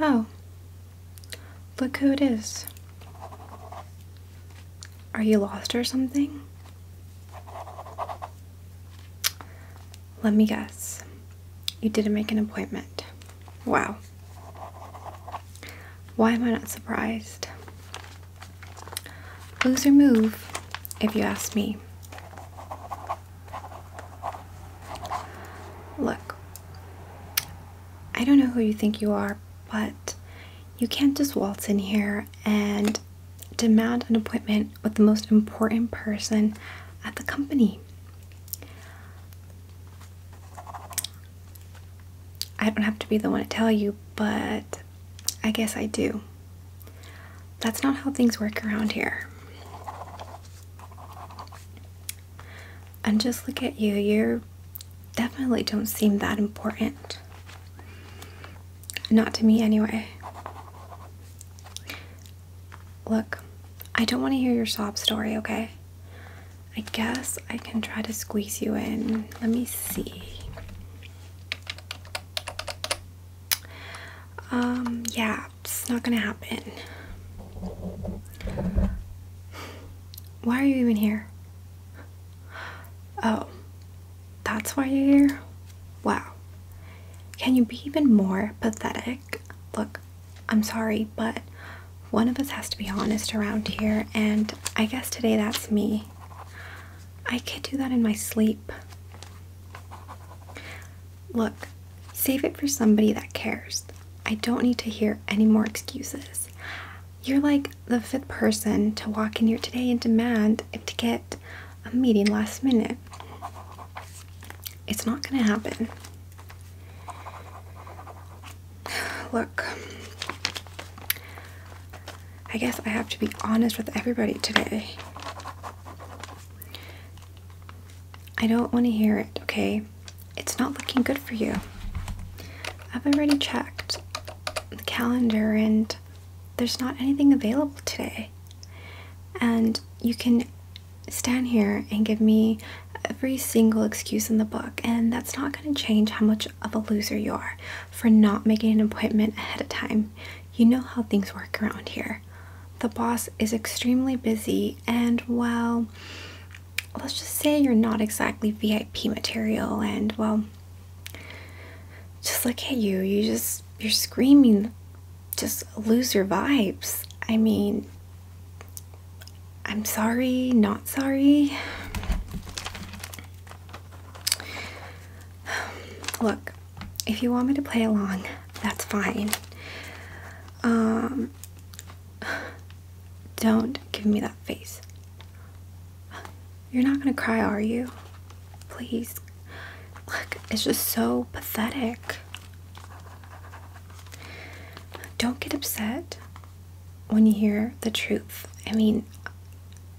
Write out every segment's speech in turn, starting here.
Oh, look who it is. Are you lost or something? Let me guess. You didn't make an appointment. Wow. Why am I not surprised? Loser move, if you ask me. Look, I don't know who you think you are, but you can't just waltz in here and demand an appointment with the most important person at the company. I don't have to be the one to tell you, but I guess I do. That's not how things work around here. And just look at you, you definitely don't seem that important. Not to me, anyway. Look, I don't want to hear your sob story, okay? I guess I can try to squeeze you in. Let me see. Um, yeah, it's not gonna happen. Why are you even here? Oh, that's why you're here? Wow. Can you be even more pathetic? Look, I'm sorry, but one of us has to be honest around here, and I guess today that's me. I could do that in my sleep. Look, save it for somebody that cares. I don't need to hear any more excuses. You're like the fifth person to walk in here today and demand to get a meeting last minute. It's not going to happen. Look, I guess I have to be honest with everybody today. I don't want to hear it, okay? It's not looking good for you. I've already checked the calendar and there's not anything available today. And you can stand here and give me every single excuse in the book, and that's not going to change how much of a loser you are for not making an appointment ahead of time. You know how things work around here. The boss is extremely busy, and well, let's just say you're not exactly VIP material, and well, just look at you. You just, you're screaming just lose your vibes. I mean, I'm sorry, not sorry. Look, if you want me to play along, that's fine. Um, don't give me that face. You're not gonna cry, are you? Please Look, it's just so pathetic. Don't get upset when you hear the truth. I mean,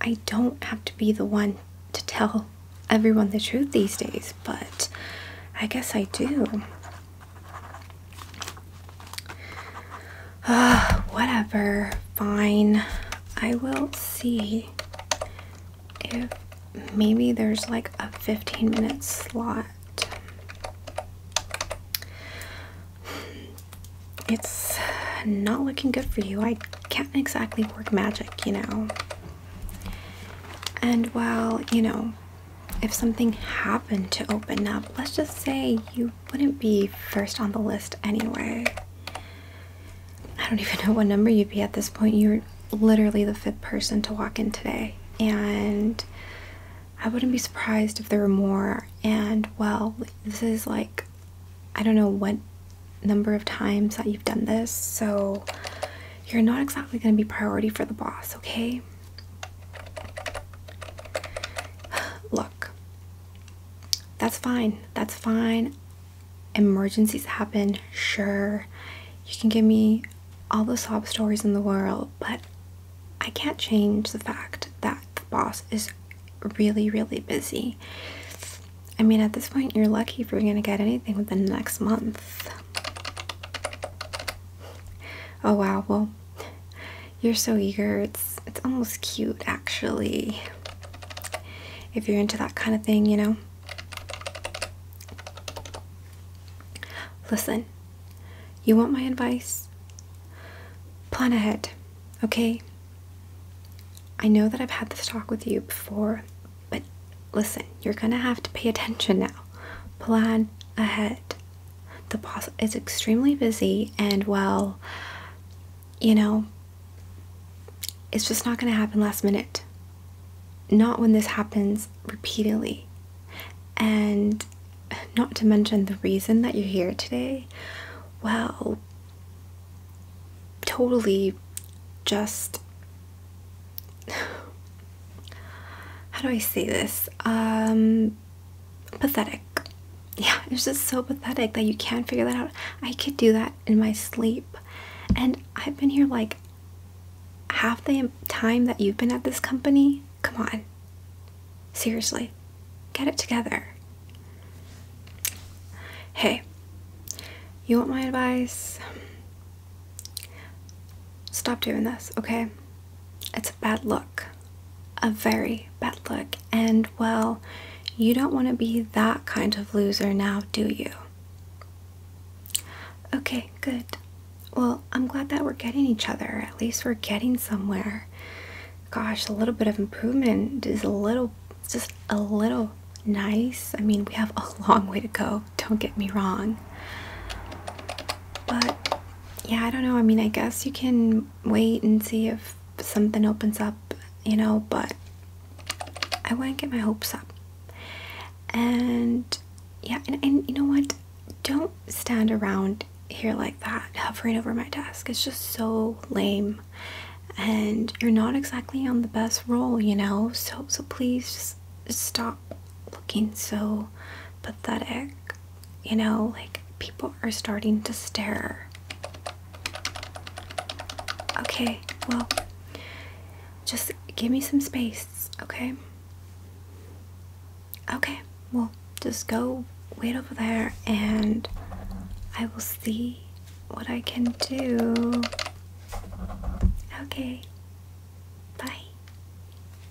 I don't have to be the one to tell everyone the truth these days, but I guess I do. Ah, whatever. Fine. I will see if maybe there's like a 15 minute slot. It's not looking good for you. I can't exactly work magic, you know. And well, you know, if something happened to open up, let's just say you wouldn't be first on the list anyway. I don't even know what number you'd be at this point. You're literally the fifth person to walk in today. And I wouldn't be surprised if there were more. And well, this is like, I don't know what number of times that you've done this. So you're not exactly going to be priority for the boss, okay? Look, that's fine. That's fine emergencies happen, sure, you can give me all the sob stories in the world, but I can't change the fact that the boss is really, really busy. I mean, at this point, you're lucky if you're going to get anything within the next month. Oh, wow. Well, you're so eager. It's, it's almost cute, actually if you're into that kind of thing, you know. Listen, you want my advice? Plan ahead, okay? I know that I've had this talk with you before, but listen, you're gonna have to pay attention now. Plan ahead. The boss is extremely busy, and well, you know, it's just not going to happen last minute. Not when this happens repeatedly. And not to mention the reason that you're here today, well, totally just. How do I say this? Um, pathetic. Yeah, it's just so pathetic that you can't figure that out. I could do that in my sleep. And I've been here like half the time that you've been at this company. Come on. Seriously, get it together. Hey, you want my advice? Stop doing this, okay? It's a bad look a very bad look. And well, you don't want to be that kind of loser now, do you? Okay, good. Well, I'm glad that we're getting each other. At least we're getting somewhere. Gosh, a little bit of improvement is a little, just a little nice. I mean, we have a long way to go, don't get me wrong. But yeah, I don't know. I mean, I guess you can wait and see if something opens up, you know, but I wouldn't get my hopes up. And yeah, and, you know what? Don't stand around here like that, hovering over my desk. It's just so lame. And you're not exactly on the best roll, you know? So so please just stop looking so pathetic you know, like people are starting to stare. Okay, well, just give me some space, okay? Okay, well, just go wait over there and I will see what I can do. Okay, bye.